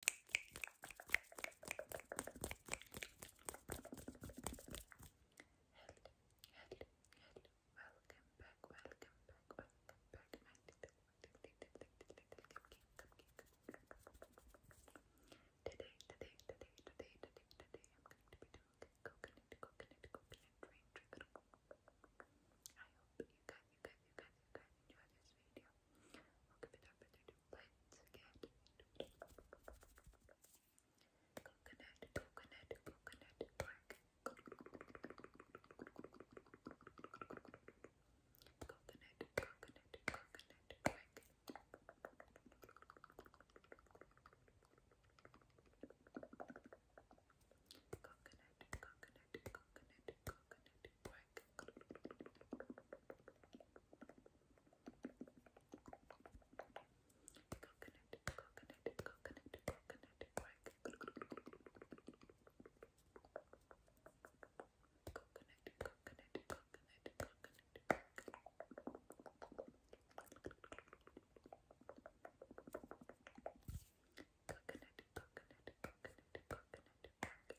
hello, hello. Welcome back, welcome back, welcome back, my little, little, little, little, little cupcake, cupcake. Today, today, today, today, today, today, I'm going to be doing coconut, coconut, coconut rain trigger. I hope you guys, you guys, you guys, you guys enjoy this video. I'll give it up and do plates again. Coconut, coconut, coconut, bark. Coconut, coconut, coconut, bark brick. Coconut, coconut, coconut, coconut brick. Coconut, coconut, coconut, coconut brick. Coconut, coconut, coconut, coconut brick.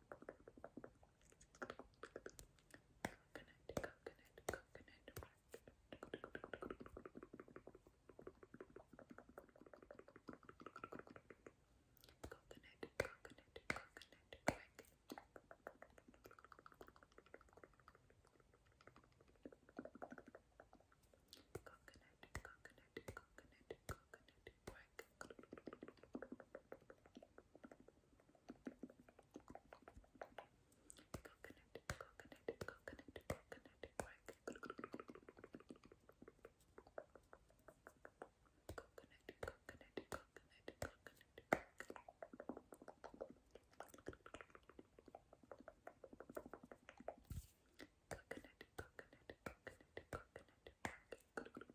Coconut, coconut, coconut. Coconut, coconut, coconut, crack. Coconut, coconut, coconut, coconut, crack coconut, coconut, coconut, coconut bark. Coconut, coconut, coconut, coconut bark. Coconut, coconut, coconut, coconut bark coconut, coconut,